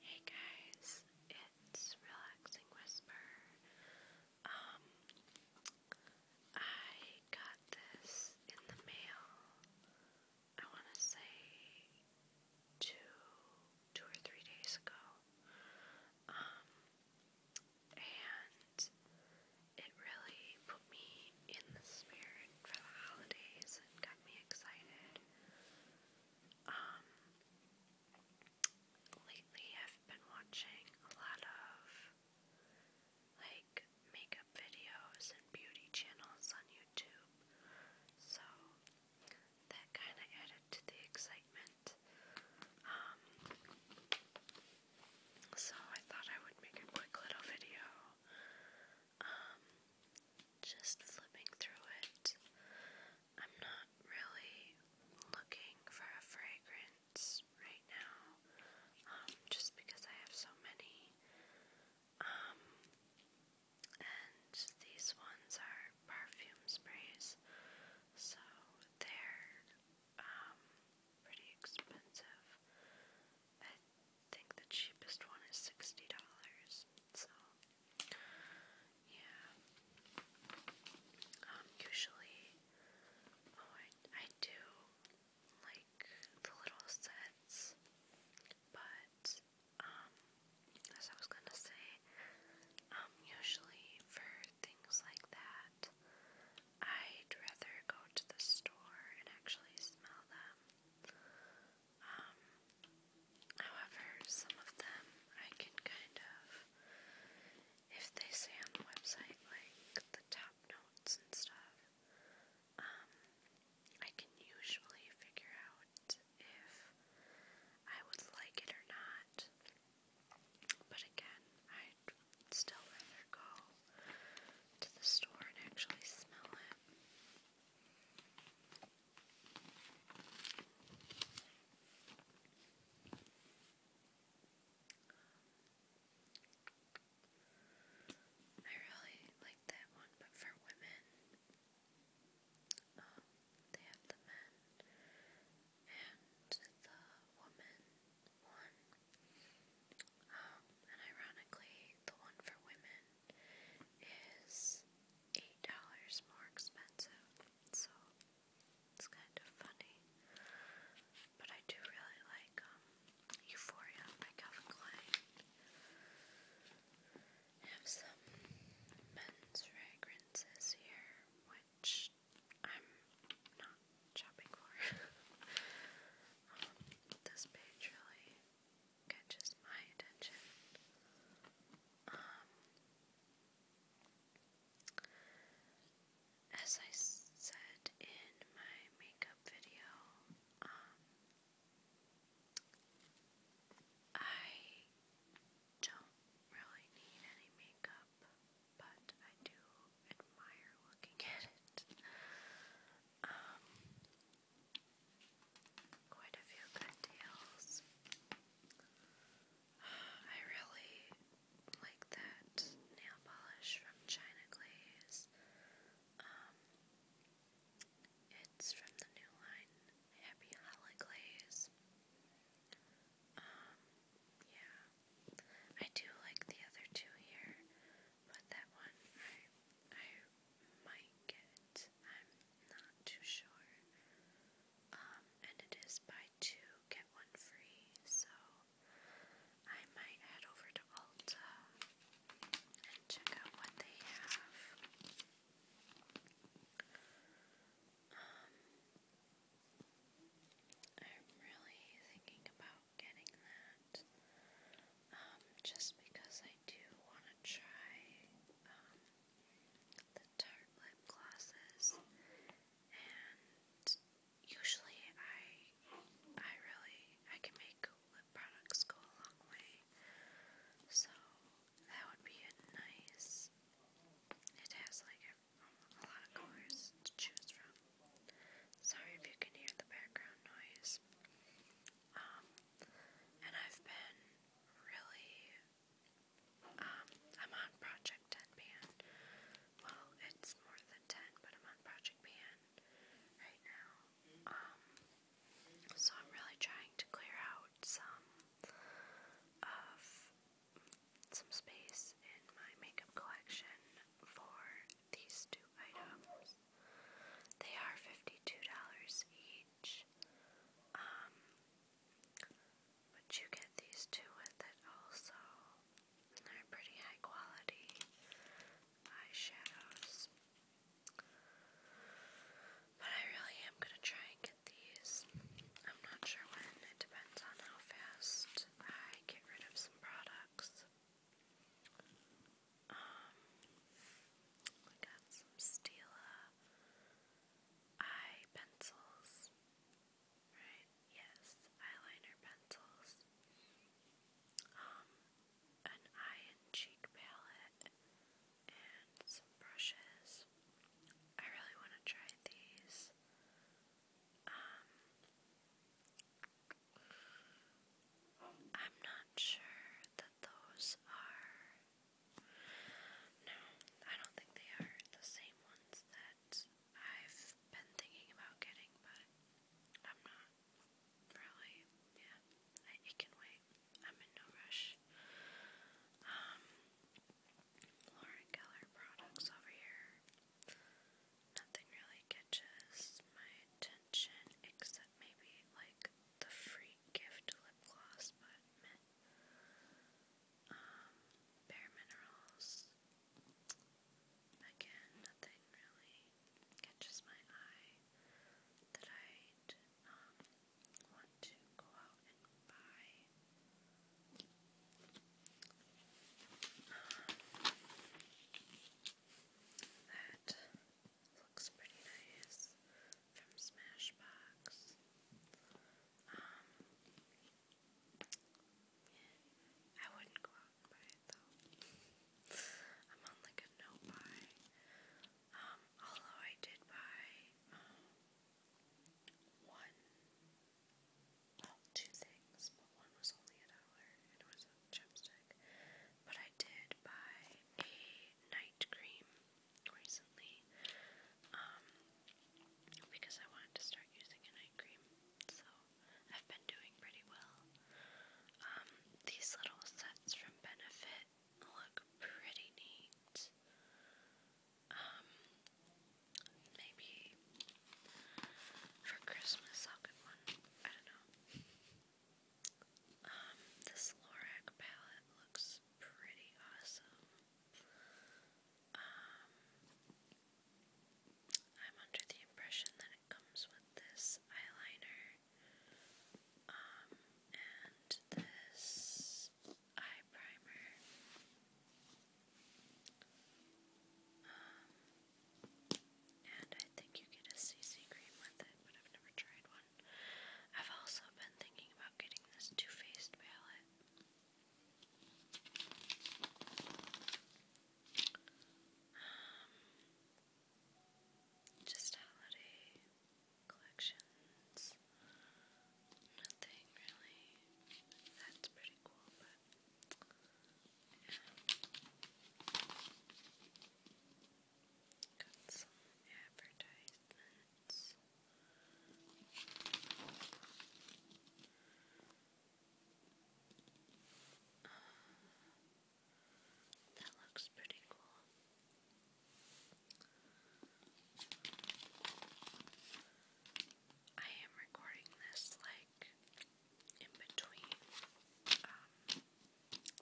Hey guys, it's Relaxing Whisper. Um, I got this in the mail, I want to say two, two or three days ago. Um, and it really put me in the spirit for the holidays and got me excited. Um, lately I've been watching a lot of like makeup videos and beauty channels on YouTube, so that kind of added to the excitement. Um, so I thought I would make a quick little video um, just flipping through it. I'm not really looking for a fragrance right now, um, just because I have so many. Um, and these ones are perfume sprays, so they're um, pretty expensive. I think the cheapest one is sixty dollars. So yeah. Um, usually, oh, I I do like the little sets, but um, as I was gonna say, um, usually for things like that, I'd rather go to the store and actually smell them. Um, however, some of them I can kind of, if they say on the website, like the top notes and stuff, um, I can usually figure out if I would like it or not. But again, I'd still rather go to the store and actually smell it. I really like that one, but for women, um, they have the men and the woman one. Um, and ironically, the one for women is eight dollars more expensive, so it's kind of funny. But I do really like um, Euphoria by Calvin Klein. have some men's fragrances here, which I'm not shopping for. Um, this page really catches my attention. Um, as I said in my makeup video, um, I don't really need any makeup, but I do admire looking at it. Um, quite a few good deals. I really like that nail polish from China Glaze. Um, it's from the new line, Happy Holly Glaze. Um, yeah. I do like the other two here but that one I, I might get. I'm not too sure. Um, and it is buy two, get one free, so I might head over to Ulta and check out what they have. Um, I'm really thinking about getting that. Um, just because I do want to try um, the Tarte lip glosses, and usually I, I really, I can make lip products go a long way, so that would be a nice. It has like a, a lot of colors to choose from. Sorry if you can hear the background noise. Um, and I've been really, um, I'm on Project 10 Pan. Well, it's more than 10, but I'm on Project Pan right now. Um, so I'm really trying to clear out some of some space in my makeup collection for these two items. They are $52 each. Um, but you get these two with it also. And they're pretty high quality eyeshadows. But I really am going to try and get these. I'm not sure when. It depends on how fast I get rid of some products. Um, we got Stila eye pencils, right? Yes, eyeliner pencils. Um, an eye and cheek palette, and some brushes. I really want to try these. Um, I'm not sure that those are. No, I don't think they are the same ones that I've been thinking about getting, but I'm not really. Yeah, it can wait. I'm in no rush. Um, Lauren Keller products over here nothing really catches my attention except maybe like the free gift lip gloss, but Um, Bare Minerals. Again, nothing really catches my eye that i um, want to go out and buy. That looks pretty nice from Smashbox. Um, I wouldn't go out and buy it though. I'm on like a no buy. Um, although I did buy um, one well, two things, but one was only a dollar and it was a chapstick. But I did buy a night cream recently, um, because I wanted to start using a night cream, so I've been doing pretty well. Um, these little sets from Benefit look pretty neat. Um, Maybe for Christmas I'll get one. I don't know. Um, this Lorac palette looks pretty awesome. Um, I'm under the impression that it comes with this eyeliner, um, and this eye primer and I think you get a CC cream with it, but I've never tried one. I've also been thinking about getting this Too Faced palette. Um, just holiday collections. Nothing really. That's pretty cool, Got some advertisements. Uh, that looks pretty cool. I am recording this like in between um,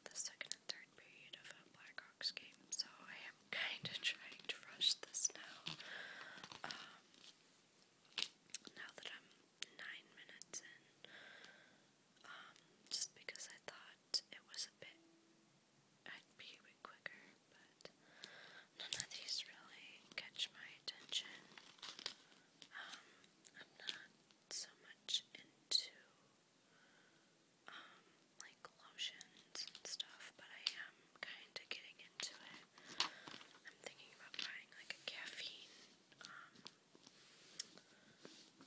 the second and third period of a Blackhawks game, so I am kind of trying to rush this now. Um, now that I'm nine minutes in, um, just because I thought it was a bit, I'd be a bit quicker but none of these really catch my attention. Um, I'm not so much into um, like lotions and stuff, but I am kinda getting into it. I'm thinking about buying like a caffeine um,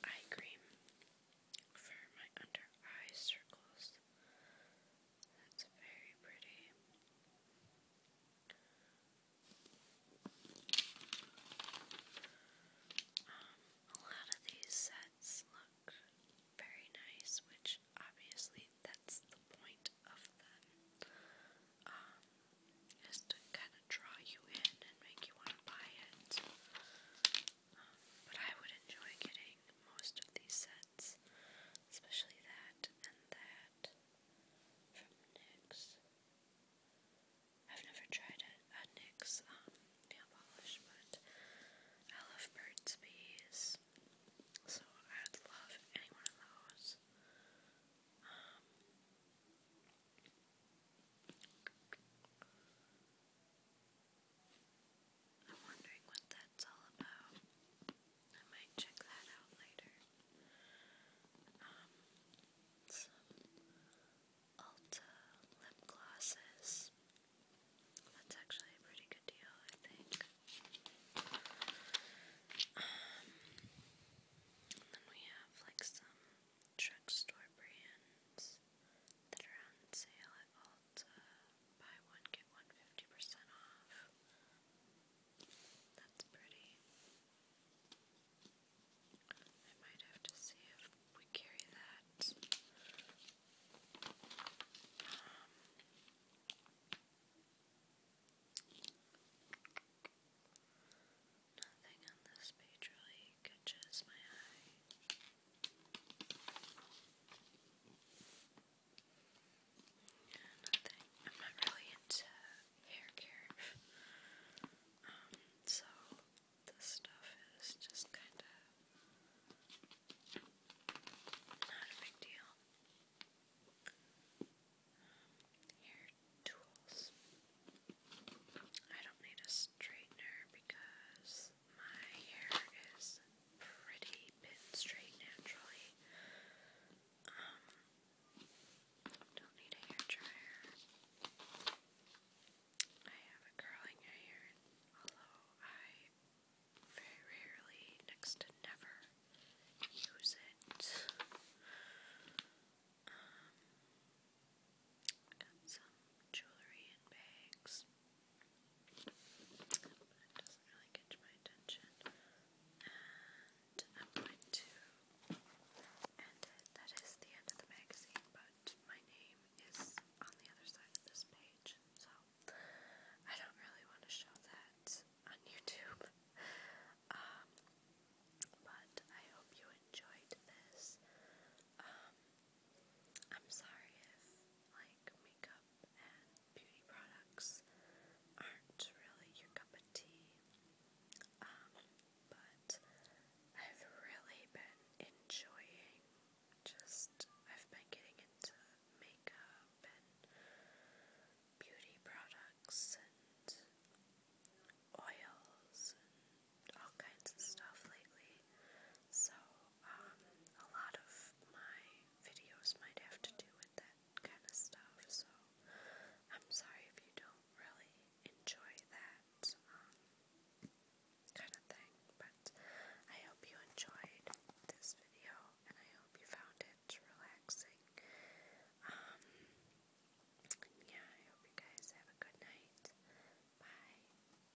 eye cream for my under eye circles. It's very pretty. Um, a lot of these sets look very nice, which obviously that's the point of them. Um, is to kind of draw you in and make you want to buy it. Um, but I would enjoy getting most of these sets especially that and that from NYX. have never tried a, um, nail polish, but I love Burt's Bees, so I love any one of those. Um, I'm wondering what that's all about. I might check that out later. Um, some Ulta lip glosses. That's actually a pretty good deal, I think. Um, and then we have like some drugstore brands that are on sale at all called uh, Buy One Get One percent Off. That's pretty. I might have to see if we carry that. Um, nothing on this page really catches my eye. Nothing. I'm not really into hair care. Um, so this stuff is just kinda not a big deal. hair tools. I don't need a straightener because my hair is pretty straight naturally. don't need a hair dryer. I have a curling iron, although I very rarely, next to never, use it. Um, some jewelry and bags but it doesn't really catch my attention. And I'm going to end it. That is the end of the magazine, but my name is on the other side of this page, so I don't really want to show that on YouTube. but I hope you enjoyed this. Um, I'm sorry if, like, makeup and beauty products aren't really your cup of tea. Um, but I've really been enjoying just, I've been getting into makeup and beauty products and oils and all kinds of stuff lately. So um, a lot of my videos might have to do with that kind of stuff, so I'm sorry if you don't really enjoy that um, kind of thing, but I hope you enjoyed this video, and I hope you found it relaxing. Um, yeah, I hope you guys have a good night. Bye.